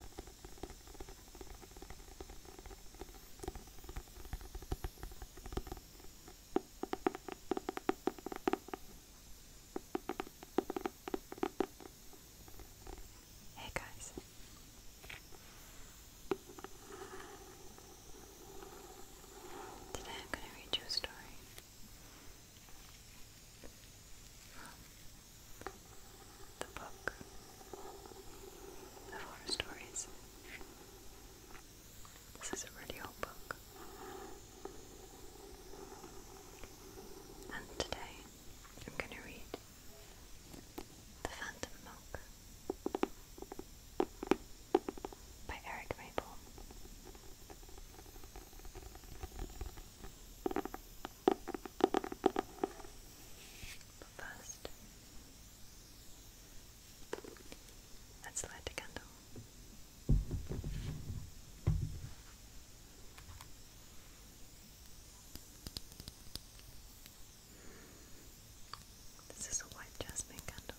Hey guys. Today I'm going to read you a story the book of horror stories. This is a really old book. And today I'm going to read The Phantom Monk by Eric Maple first, let's light a candle. This is a white jasmine candle.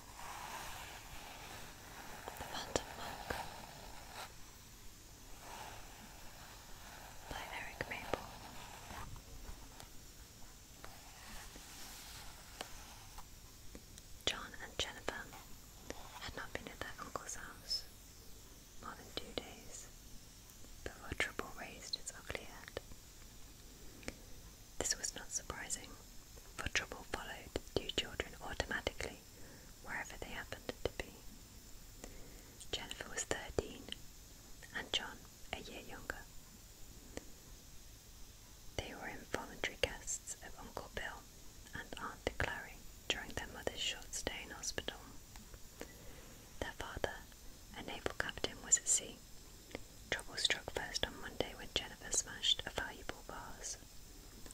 The Phantom Monk by Eric Maple. John and Jennifer had not been at their uncle's house more than two days before trouble raised its ugly head. This was not surprising, for trouble followed two children automatically wherever they happened to be. Jennifer was 13 and John a year younger. They were involuntary guests of Uncle Bill and Aunt Clary during their mother's short stay in hospital. Their father, a naval captain, was at sea. Trouble struck first on Monday when Jennifer smashed a valuable vase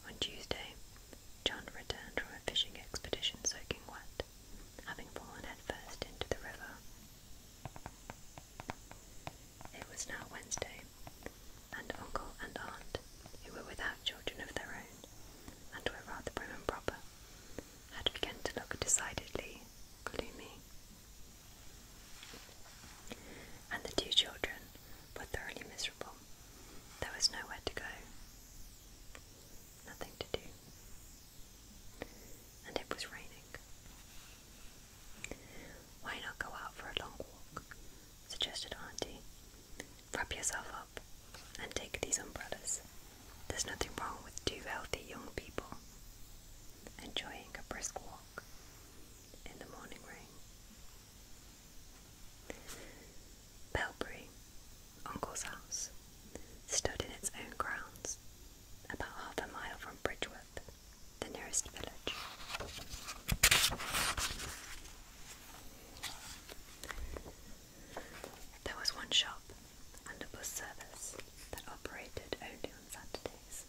on Tuesday, John returned from a fishing expedition soaking wet, having fallen headfirst into the river. It was now Wednesday, and uncle and aunt, who were without children of their own, and were rather prim and proper, had begun to look decidedly gloomy. And the two children were thoroughly miserable. There was nowhere to go, nothing to do, and it was raining. Why not go out for a long walk? suggested Auntie. Wrap yourself up and take these umbrellas. There's nothing wrong with two healthy young people enjoying a brisk walk in the morning rain. Belbury, Uncle's house, stood in its own grounds, about half a mile from Bridgeworth, the nearest village. There was one shop and a bus service that operated only on Saturdays.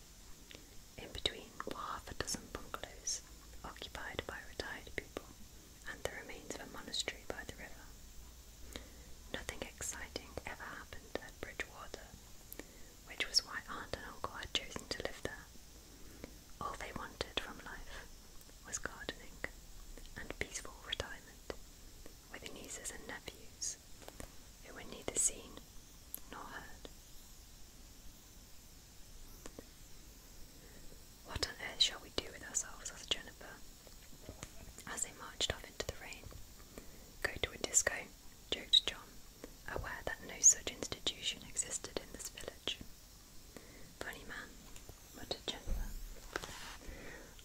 In between half a dozen bungalows occupied by retired people and the remains of a monastery by the river. Nothing exciting ever happened at Bridgewater, which was why aunt and uncle had chosen to live there. All they wanted from life was gardening and peaceful retirement with nieces and nephews who were neither seen nor heard. What on earth shall we do with ourselves? asked Jennifer as they marched off into the rain. Go to a disco, joked John, aware that no such institution existed in this village. Funny man, muttered Jennifer.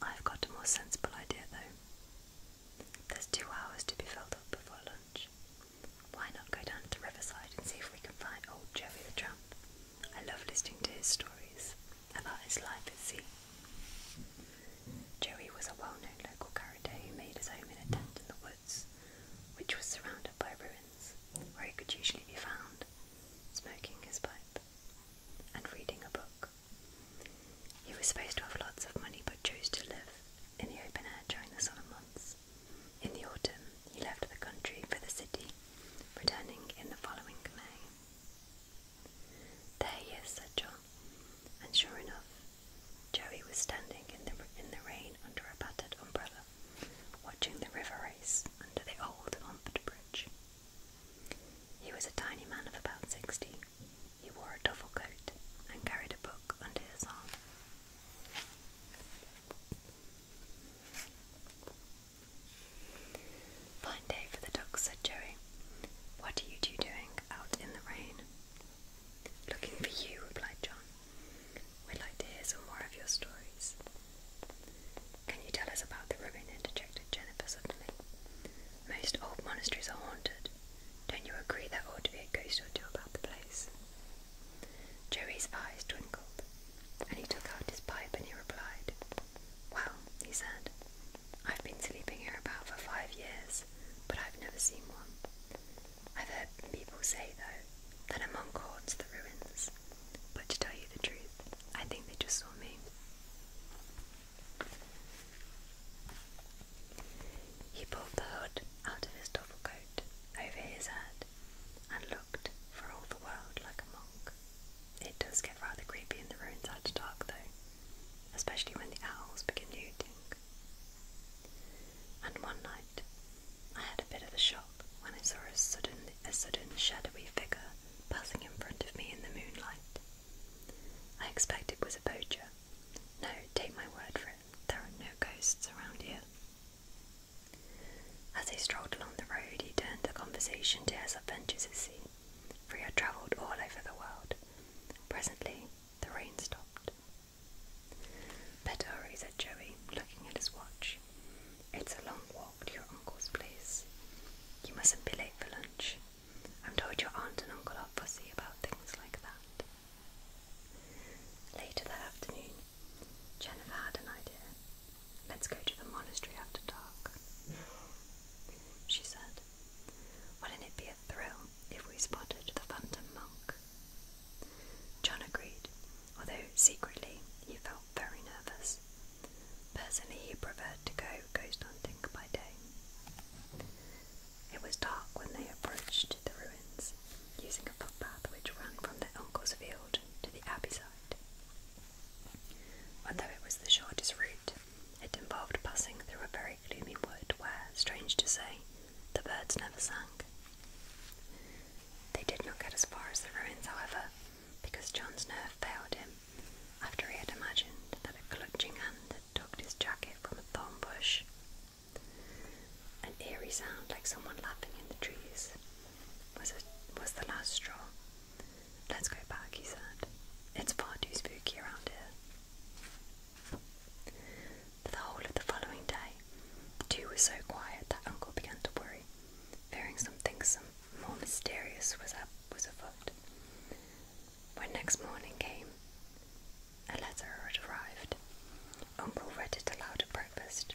I've got a more sensible idea though. There's two hours to be filled up before lunch. Why not go down to Riverside and see if we can find old Joey the Tramp? I love listening to his stories about his life at sea. Joey was a well known local character who made his home in a tent in the woods, which was surrounded by ruins, where he could usually be found, smoking his pipe and reading a book. He was supposed to have lots of money but chose to live in the open air during the summer months in the autumn, he left the country for the city, returning in the following May. There he is, said John, and sure enough, Joey was standing in the, in the rain under a battered umbrella, watching the river race under the old Montford Bridge. He was a tiny man of about sixty. He wore a duffle coat and carried a book under his arm. Fine day for the ducks, said Joey. What are you two doing out in the rain? Looking for you, replied John. We'd like to hear some more of your stories. Can you tell us about the ruin? interjected Jennifer suddenly. Most old monasteries are haunted. Don't you agree there ought to be a ghost or two about the place? Joey's eyes twinkled, and he took out his pipe and he replied, Well, he said, I've been sleeping here about for five years, but I've never seen one. I've heard people say, though, that a monk haunts the ruins, but to tell you the truth, I think they just saw me. He pulled the hood out of his double coat over his head and looked for all the world like a monk. It does get rather creepy in the ruins after dark, though, especially when the owls begin hooting. And one night, I had a bit of a shock when I saw a sudden, a sudden shadowy figure passing in front of me in the moonlight. I expect it was a poacher. No, take my word for it, there are no ghosts around here. As they strolled along the road, he turned the conversation to his adventures at sea, for he had travelled all over the world. Presently, the rain stopped. Better hurry, said Joey, looking at his watch. It's a long walk to your uncle's place. You mustn't be late for lunch. I'm told your aunt and uncle are fussy about things like that. Later that afternoon, Jennifer had an idea. Let's go to the monastery after dark, she said. Wouldn't it be a thrill if we spotted the phantom monk? John agreed, although secretly he felt very nervous. Personally, he preferred to go ghost hunting by day. It was dark when they approached the ruins, using a footpath which ran from their uncle's field to the abbey side. Although it was the shortest route, it involved passing through a very gloomy wood where, strange to say, the birds never sang. They did not get as far as the ruins, however, because John's nerve failed him after he had imagined that a clutching hand had tugged his jacket from a thorn bush an eerie sound like someone laughing in the trees was, a, was the last straw. Let's go back, he said. It's far too spooky around here. For the whole of the following day, the two were so quiet that Uncle began to worry, fearing something some more mysterious was, up, was afoot. When next morning came, a letter had arrived. Uncle read it aloud at breakfast.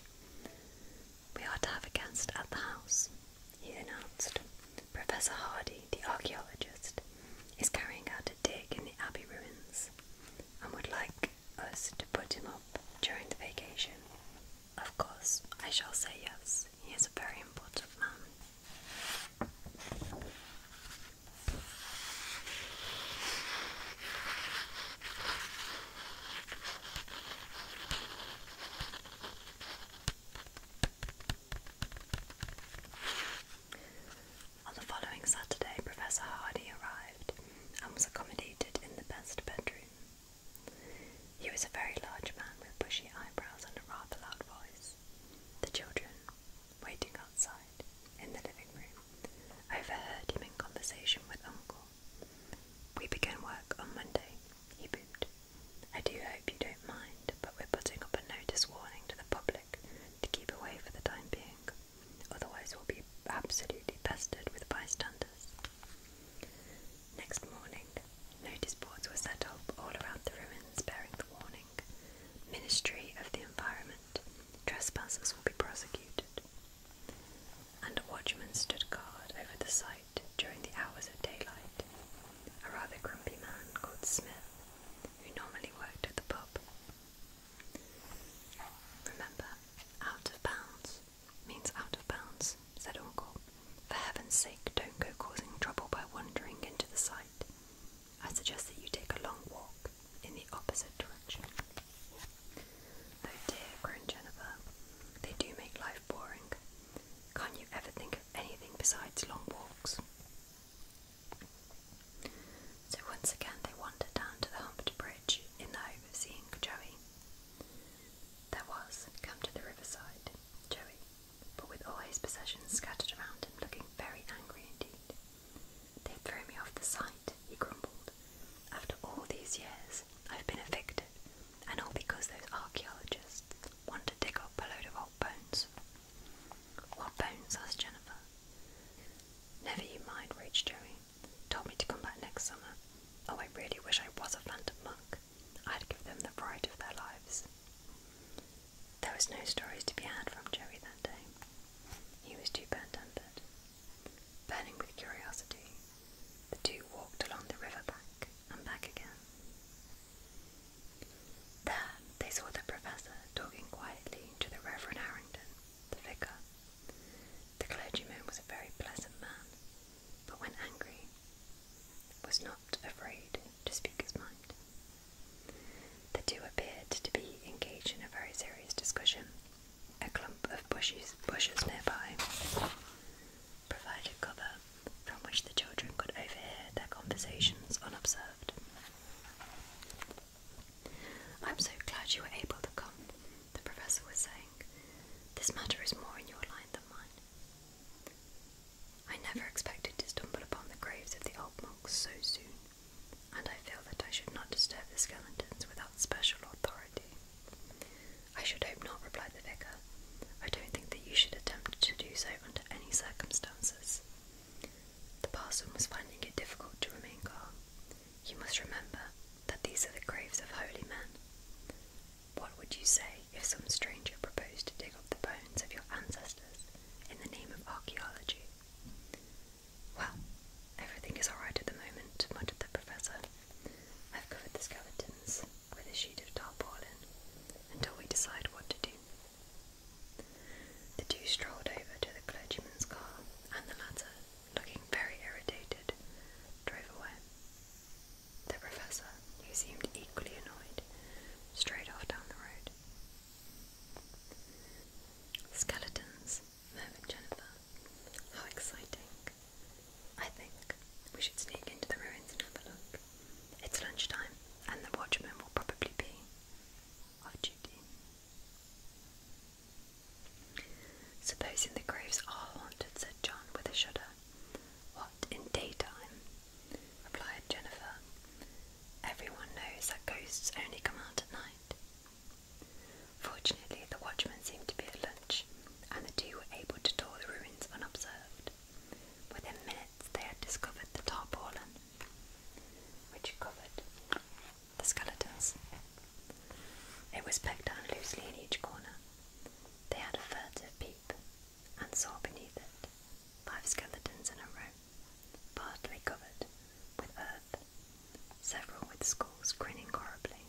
We are to have a guest at the house, he announced. Professor Hardy, the archaeologist, is carrying out a dig in the abbey ruins and would like us to put him up during the vacation. Of course, I shall say yes. He is a very important man. On the following Saturday, Professor Hardy arrived and was accommodated in the best bedroom. He was a very large man with bushy eyebrows and a rather loud voice. The children, waiting outside in the living room, overheard him in conversation with Uncle. We begin work on Monday, he booped. I do hope you don't mind, but we're putting up a notice warning to the public to keep away for the time being. Otherwise, we'll be absolutely pestered with bystanders. Next morning, notice boards were set up all around the ruins bearing the warning Ministry of the Environment punishment. Trespassers will be prosecuted. And a watchman stood guard over the site during the hours of daylight, a rather grumpy man called Smith, who normally worked at the pub. Remember, out of bounds means out of bounds, said Uncle. For heaven's sake, don't go causing trouble by wandering into the site. I suggest that you take a long walk in the opposite direction. Oh dear, groaned Jennifer, they do make life boring. Can't you ever think of anything besides long walks? So once again they wandered down to the humped bridge in the hope Joey. There was, come to the riverside, Joey, but with all his possessions scattered around him, looking very angry indeed. They threw me off the site, he grumbled. After all these years, I've been evicted, and all because those archaeologists want to dig up a load of old bones. What bones? asked Jennifer. Never you mind, raged Joey. Told me to come back next summer. Oh, I really wish I was a phantom monk. I'd give them the fright of their lives. There was no stories to be had from Joey that day. He was too burnt tempered. Burning with curiosity, the two walked along the riverbank and back again. There they saw the professor talking quietly to the Reverend Harrington, the vicar. The clergyman was a very pleasant man, but when angry, was not afraid to speak his mind. The two appeared to be engaged in a very serious discussion. A clump of bushes, nearby provided cover from which the children could overhear their conversations unobserved. I'm so glad you were able to come, the professor was saying. This matter is more in your line than mine. I never expected to stumble upon the graves of the old monks so soon and I feel that I should not disturb the skeletons without special authority. I should hope not, replied the vicar. I don't think that you should attempt to do so under any circumstances. The parson was finding it difficult to remain calm. You must remember that these are the graves of holy men. What would you say if some stranger proposed to dig up the bones of your ancestors in the name of archaeology? Well, everything is alright at the moment, muttered the Professor. I've covered the skeletons with a sheet of tarpaulin until we decide what to do. The two strolled over to the clergyman's car, and the latter, looking very irritated, drove away. The Professor, who seemed equally annoyed, strayed off down the road. Skeletons, murmured Jennifer. How exciting. I think we should sneak into the ruins and have a look. It's lunchtime, and the watchman will probably be off duty. Supposing the graves are haunted, said John with a shudder. What, in daytime? replied Jennifer. Everyone knows that ghosts only come out at night night. Fortunately, the watchman seemed to be at lunch, and the two were able to tour the ruins unobserved. Within minutes, they had discovered the tarpaulin, which covered the skeletons. It was pegged down loosely in each corner. They had a furtive peep, and saw beneath it five skeletons in a row partly covered with earth, several with skulls grinning horribly.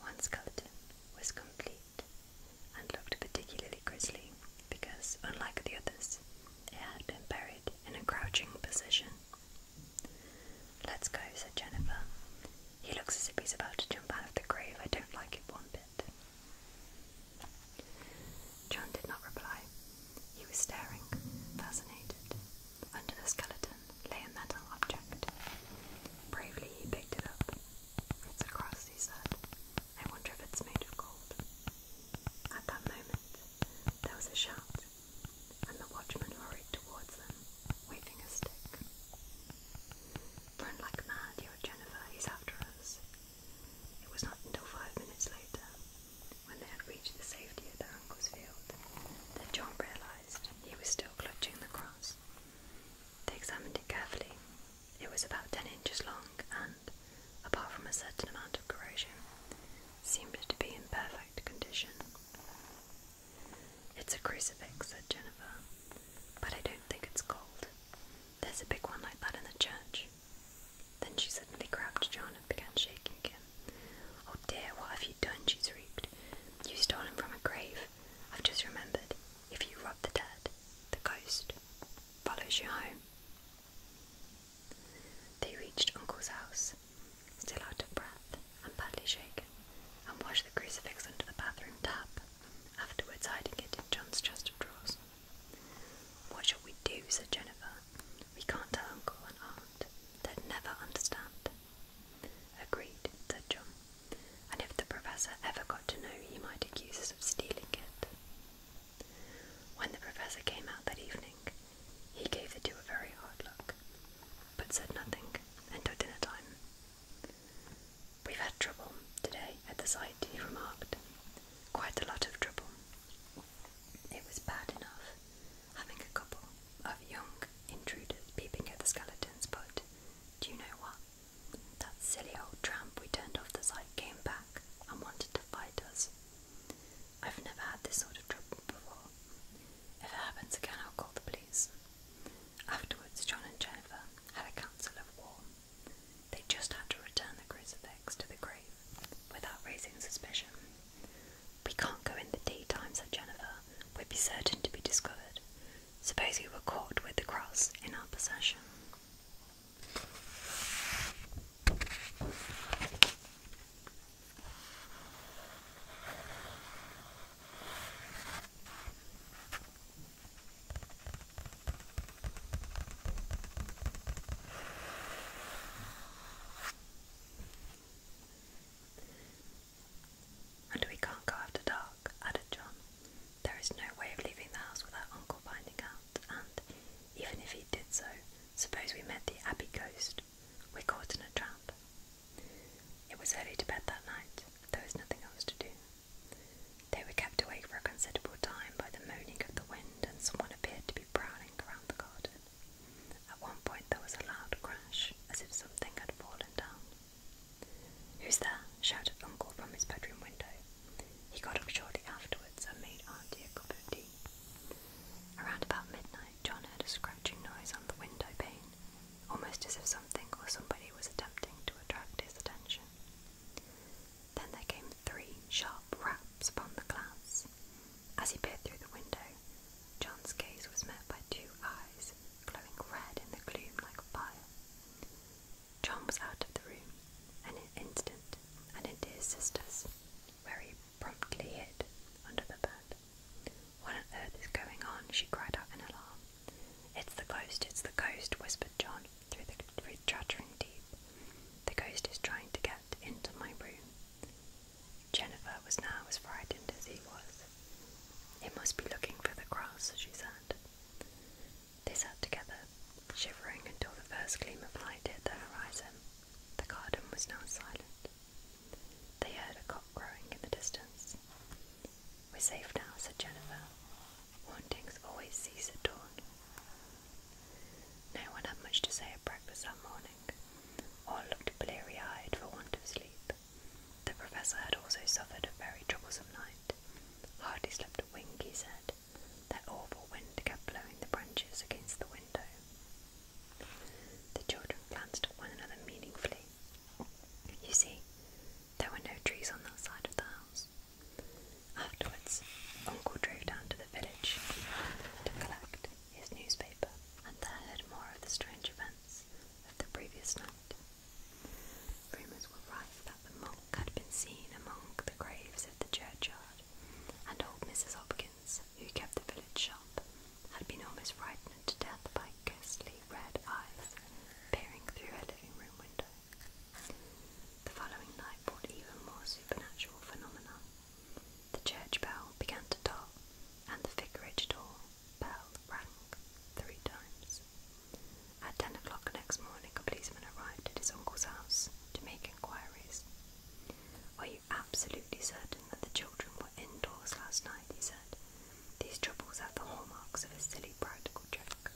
One skeleton was complete and looked particularly grisly because, unlike the others, it had been buried in a crouching position. Let's go, said Jennifer. He looks as if he's about to jump out of the grave. I don't like it one bit. John did not reply. He was staring, fascinated. Under the skeleton lay a metal object. Bravely he picked it up. It's a cross, he said. I wonder if it's made of gold. At that moment, there was a shout, and the watchman hurried towards them, waving a stick. Run like mad, yelled Jennifer, he's after us. It was not until five minutes later when they had reached the safety of their uncle's field, then John realized he was still clutching the cross. They examined it carefully. It was about ten inches long and, apart from a certain amount of corrosion, seemed to be in perfect condition. It's a crucifix, said Jennifer, but I don't think it's gold. There's a big one like that in the church, then she suddenly grabbed John and began shaking again. Oh dear, what have you done? she shrieked. You stole him from a grave. I've just remembered. If you rob the dead, the ghost follows you home. They reached Uncle's house, still out of breath and badly shaken, and washed the crucifix under the bathroom tap, afterwards hiding it in John's chest of drawers. What shall we do? said Jennifer. We can't tell uncle and aunt. They'd never understand. Agreed, said John. And if the professor ever got to know, he might accuse us of stealing it. When the professor came out that evening, he gave the two a very hard look, but said nothing until dinner time. We've had trouble today at the site, he remarked. Quite a lot of trouble. It was bad enough having a couple of young intruders peeping at the skeletons, but do you know what? That silly old tramp we turned off the site came back and wanted to fight us. I've never had this sort of trouble before. If it happens again, I'll call the police. Afterwards, John and Jennifer had a council of war. They just had to return the crucifix to the grave without raising suspicion. We can't go in the daytime, said Jennifer. We'd be certain to be discovered. Suppose we were caught with the cross in our possession. And we can't go after dark, added John. There is no way of leaving the house without Uncle finding out, and even if he did so, suppose we met the Abbey ghost. We're caught in a trap. It was early to bed that night. There was nothing else to do. They were kept awake for a considerable time by the moaning of the wind wind and someone appeared to be prowling around the garden. At one point there was a loud crash, as if something had fallen down. Who's there? shouted Uncle from his bedroom window. He got up shortly afterwards and made Auntie a cup of tea. Around about midnight, John heard a scratching noise on the window pane, almost as if something or somebody was attempting to attract his attention. Then there came three sharp raps upon the glass. As he peered through the window, John's gaze was met by two eyes glowing red in the gloom like fire. John was out of the room in an instant and into his sister's, very promptly hid under the bed. What on earth is going on? she cried out in alarm. It's the ghost, it's the ghost, whispered John through the through chattering teeth. The ghost is trying to get into my room. Jennifer was now as frightened as he was. It must be looking for the cross, she said. They sat together, shivering until the first gleam of light hit the horizon. The garden was now silent. They heard a cock crowing in the distance. We're safe now, said Jennifer. Hauntings always cease at dawn. No one had much to say at breakfast that morning. All looked bleary eyed for want of sleep. The professor had also suffered a very troublesome night. Hardly slept a wink, he said. That awful wind kept blowing the branches against the window. The children glanced at one another meaningfully. You see, there were no trees on that side of the house. Afterwards, Uncle drove down to the village to collect his newspaper and there heard more of the strange events of the previous night. Rumours were rife that the monk had been seen among the graves of the churchyard, and old Mrs. Hopkins, who kept the village shop, had been almost frightened to death by ghostly red eyes peering through her living room window. The following night brought even more supernatural phenomena. The church bell began to toll, and the vicarage door bell rang three times. At ten o'clock next morning, a policeman arrived at his uncle's house to make inquiries. Are you absolutely certain that the children were indoors last night? he said. These troubles have the hallmarks of a silly practical joke.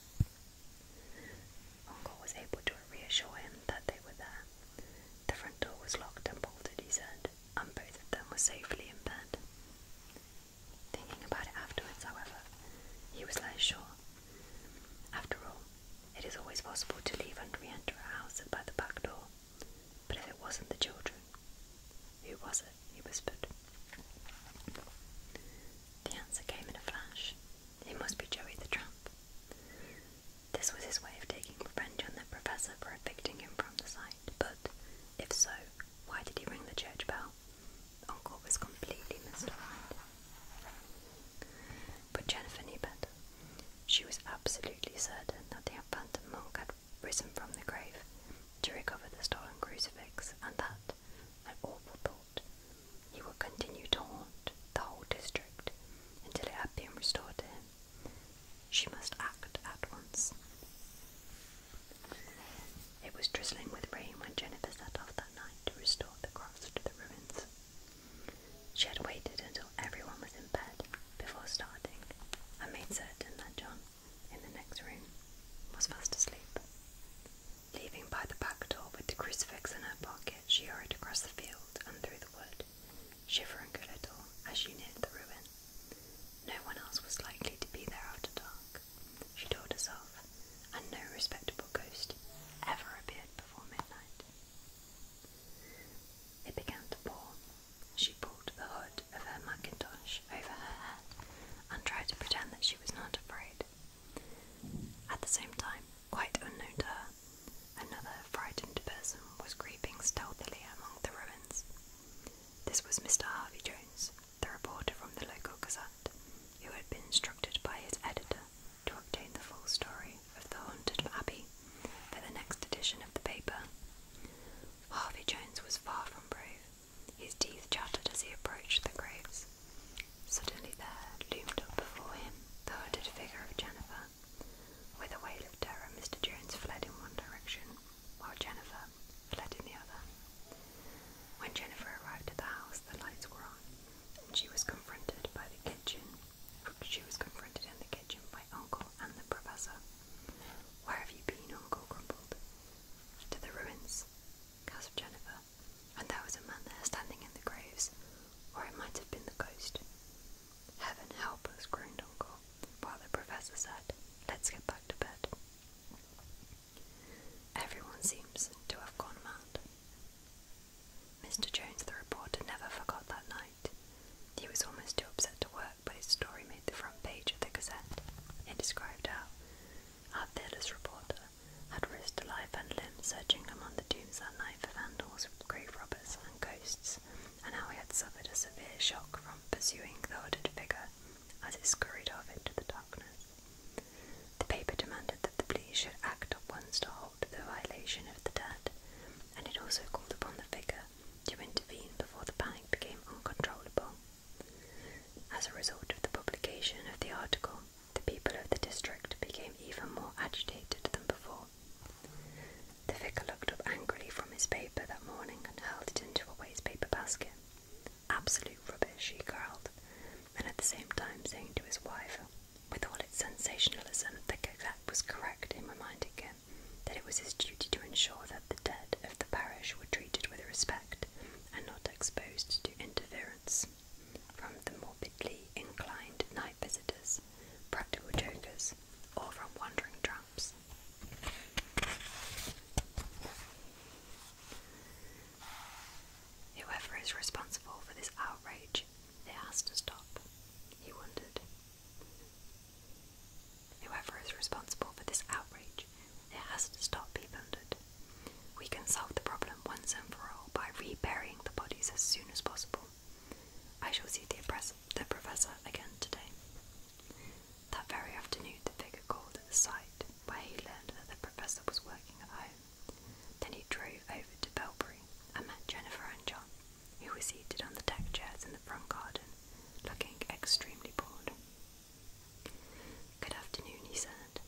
Uncle was able to reassure him that they were there. The front door was locked and bolted, he said, and both of them were safely in bed. Thinking about it afterwards, however, he was less sure. After all, it is always possible to leave and re enter a house by the back door. But if it wasn't the children, who was it? he whispered. The answer came in a flash. It must be Joey the Trump. This was his way of taking revenge on the professor for evicting him from the site, but if so, why did he ring the church bell? Uncle was completely mystified. But Jennifer knew better. She was absolutely certain that the abandoned monk had risen from the grave to recover the stolen crucifix, and that, an awful thought, he would continue to haunt the whole district until it had been restored to him. She must act at once. It was drizzling with rain when Jennifer set off that night to restore the cross to the ruins. She had waited until everyone was in bed before starting and made certain that John, in the next room, was fast asleep. Leaving by the back door with the crucifix in her pocket, she hurried across the field and through the wood, shivering a little as she neared the ruin. No one else was likely to be there after dark, she told herself, and no respectable ghost ever appeared before midnight. It began to pour. She pulled the hood of her mackintosh over her head and tried to pretend that she was not afraid. At the same time, quite unknown to her, another frightened person was creeping stealthily among the ruins. This was Mr. Harvey Jones, the reporter from the local Gazette, who had been instructed by his editor to obtain the full story of the haunted abbey for the next edition of the paper. Harvey Jones was far from brave. His teeth chattered as he approached the graves, Suddenly there loomed up before him the hooded figure of Jennifer. With a wail of terror, Mr. Jones fled in one direction, while Jennifer fled in the other. When Jennifer arrived at the house, the lights were on, and she was confronted by the kitchen. She was confronted in the kitchen by Uncle and the Professor. Where have you been, Uncle? grumbled. To the ruins, gasped Jennifer and there was a man there standing in the graves, or it might have been the ghost. Heaven help us, groaned Uncle, while the professor said, Let's get back to bed. Everyone seems to have gone mad. Mr. Jones, the reporter, never forgot that night. He was almost too upset to work, but his story made the front page of the Gazette. It described how our fearless reporter had risked life and limb searching among the tombs that night for vandals, grave robbers, and ghosts, and how he had suffered a severe shock from pursuing the hooded figure as it scurried off into the darkness. The paper demanded that the police should act at once to halt the violation of the dead, and it also called upon the figure to intervene before the panic became uncontrollable. As a result of the publication of the article, the people of the district became even more agitated than before. The vicar looked up angrily from his paper that morning and hurled it into a waste paper basket. Absolute rubbish, he growled, and at the same time saying to his wife, with all its sensationalism, the Gazette was correct in reminding him that it was his duty to ensure that the dead of the parish were treated with respect and not exposed to interference from the morbidly inclined night visitors, practical jokers, or from wandering tramps. Whoever is responsible for this outrage, it has to stop, he wondered. Whoever is responsible for this outrage, it has to stop, he pondered. We can solve the problem once and for all by reburying the bodies as soon as possible. I shall see the, the professor again today. That very afternoon, the vicar called at the site where he learned that the professor was working at home. Then he drove over to Belbury and met Jennifer and John, who were seated on the deck chairs in the front garden, looking extremely bored. Good afternoon, he said.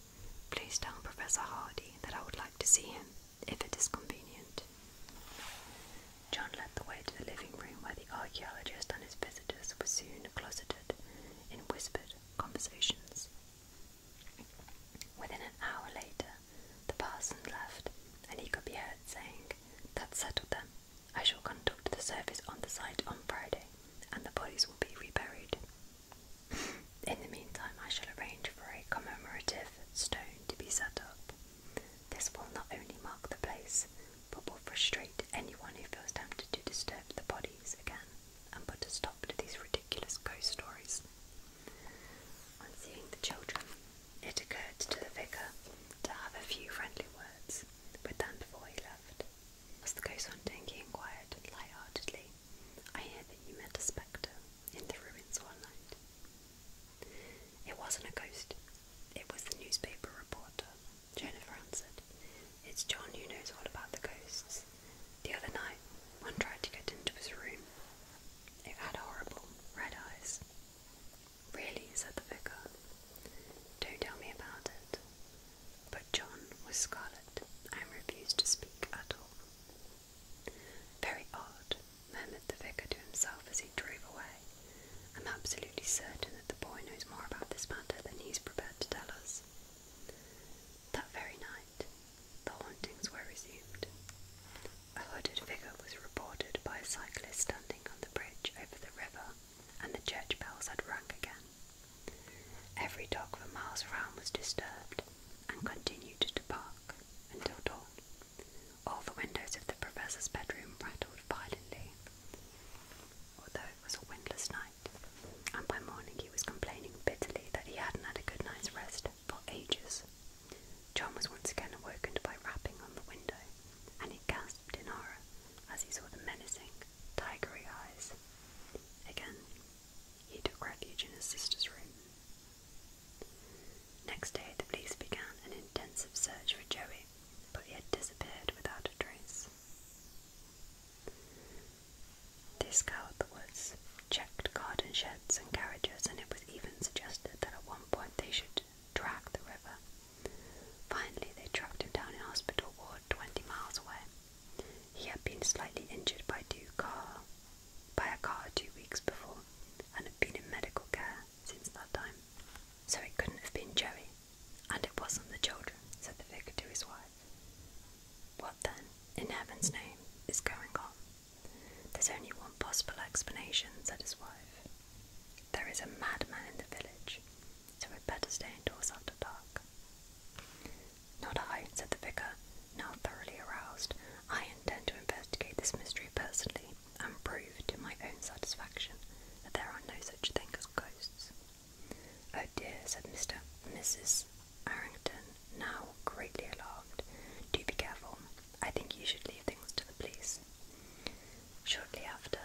Please tell Professor Hardy that I would like to see him, if it is convenient. John led the way to the living room where the archaeologist and his visitors were soon closeted in whispered conversations. Within an hour later, the parson left, and he could be heard saying, That's settled then. I shall conduct the service on the site on Friday, and the bodies will be reburied. In the meantime, I shall arrange for a commemorative stone to be set up. This will not only mark the place, but will frustrate anyone who feels tempted to disturb the bodies again and put a stop to these ridiculous ghost stories. On seeing the children, it occurred to the vicar to have a few friendly words with them before he left. Was the ghost hunting? he inquired light-heartedly. I hear that you met a spectre in the ruins one night. It wasn't a ghost, it was the newspaper reporter, Jennifer answered. It's John who knows all about the ghosts. The other night, one tried to get into his room. It had horrible red eyes. Really, said the vicar. Don't tell me about it. But John was scarlet and refused to speak at all. Very odd, murmured the vicar to himself as he drove away. I'm absolutely certain that the boy knows more about this matter than he's prepared to tell us. That very night, the hauntings were resumed. A hooded figure was reported by a cyclist standing on the bridge over the river, and the church bells had rung again. Every dog for miles around was disturbed and continued to bark until dawn. All the windows of the professor's bedroom rattled violently, although it was a windless night, and by morning he was complaining bitterly that he hadn't had a good night's rest for ages. John was once again awokened by rapping on the window, and he gasped in horror as he saw the menacing, tigery eyes. Again, he took refuge in his sister's room. Next day, the police began an intensive search for Joey, but he had disappeared without a trace. They scoured the woods, checked garden sheds and carriages, and it was even suggested that at one point they should track the river. Finally, they tracked him down in hospital ward 20 miles away. He had been slightly injured by, two car, by a car two weeks before and had been in medical care since that time. So it couldn't have been Jerry, and it wasn't the children, said the vicar to his wife. What then, in heaven's name, is going on? There's only one possible explanation, said his wife. There is a madman in the village, so we'd better stay indoors after dark. Not I, said the vicar, now thoroughly aroused. I intend to investigate this mystery personally and prove to my own satisfaction that there are no such thing as ghosts. Oh dear, said Mr. Mrs. Arrington, now greatly alarmed. Do be careful. I think you should leave things to the police. Shortly after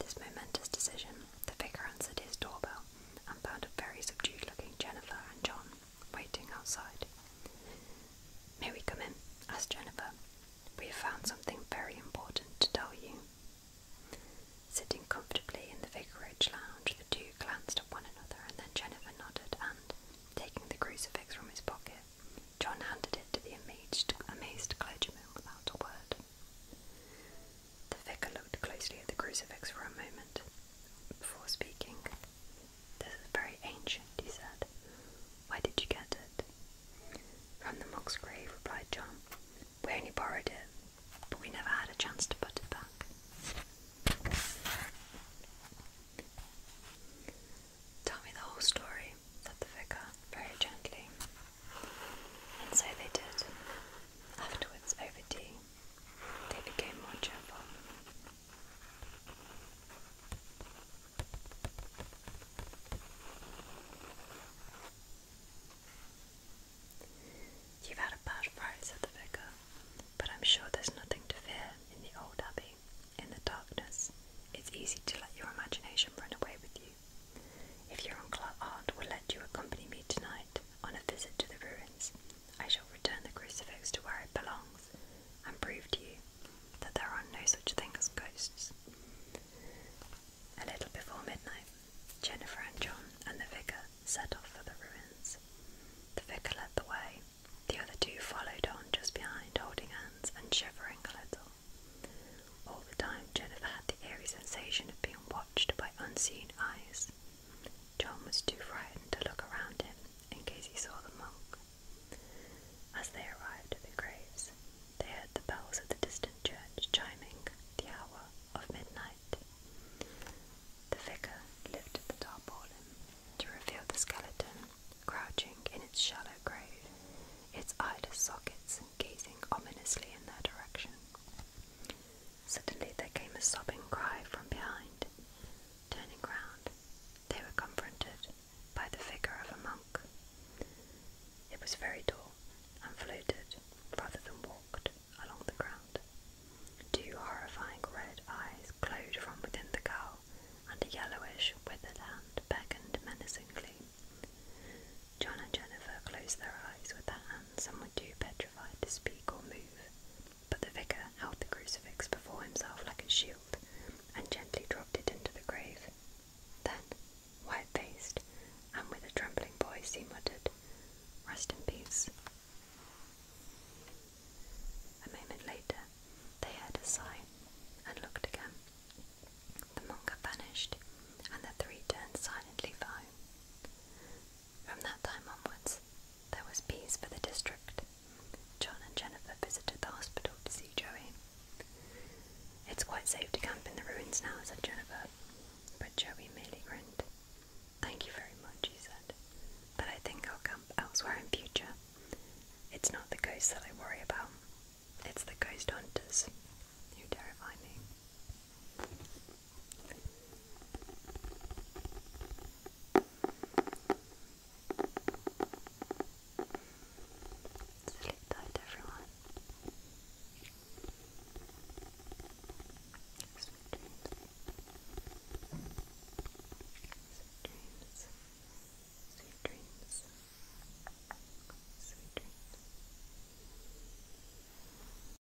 this momentous decision, the vicar answered his doorbell well and found a very subdued looking Jennifer and John waiting outside. May we come in? asked Jennifer. We have found something very important to tell you. Sitting comfortably in the vicarage lounge, the two glanced at one another and then Jennifer nodded and, taking the crucifix from his pocket, John handed it to the amazed clergyman without a word. The vicar looked closely at the crucifix for a moment before speaking. This is very ancient, he said. Where did you get it? From the monk's grave, replied John. We only borrowed it, but we never had a chance to put it back. Tell me the whole story, said the vicar very gently. And so they did. Afterwards, over tea, they became more You've had a bad fright, said the vicar, but I'm sure there's nothing to fear in the old abbey. In the darkness, it's easy to let your imagination run away with you. If your uncle at Art will let you accompany me tonight on a visit to the ruins, I shall return the crucifix to where it belongs and prove to you that there are no such things as ghosts. A little before midnight, Jennifer and John and the vicar set off for the ruins. The vicar led the way, the other two followed on just behind, holding hands and shivering a little. All the time, Jennifer had the eerie sensation of being watched by unseen eyes. John was too frightened to look around him in case he saw the monk. As they arrived at the graves, they heard the bells of the distant church chiming the hour of midnight. The vicar lifted the tarpaulin to reveal the skeleton crouching in its shallow grave, its eyeless sockets gazing ominously in their direction. Suddenly there came a sobbing cry from behind. Turning round, they were confronted by the figure of a monk. It was very tall and floated rather than walked along the ground. Two horrifying red eyes glowed from within the cowl, and a yellowish, withered hand beckoned menacingly. John and Jennifer closed their eyes with their hands and were too petrified to speak or move. But the vicar held the crucifix before himself like a shield and gently dropped it into the grave. Then, white faced and with a trembling voice, he muttered, Rest in peace. A moment later, they heard a sigh and looked again. The monk had vanished, and the three turned silently for from that time onwards, there was peace for the district. John and Jennifer visited the hospital to see Joey. It's quite safe to camp in the ruins now, said Jennifer, but Joey merely grinned. Thank you very much, he said, but I think I'll camp elsewhere in future. It's not the ghosts that I worry about, it's the ghost hunters who terrify me. Sleep tight, everyone. Sweet dreams. Sweet dreams. Sweet dreams. Sweet dreams.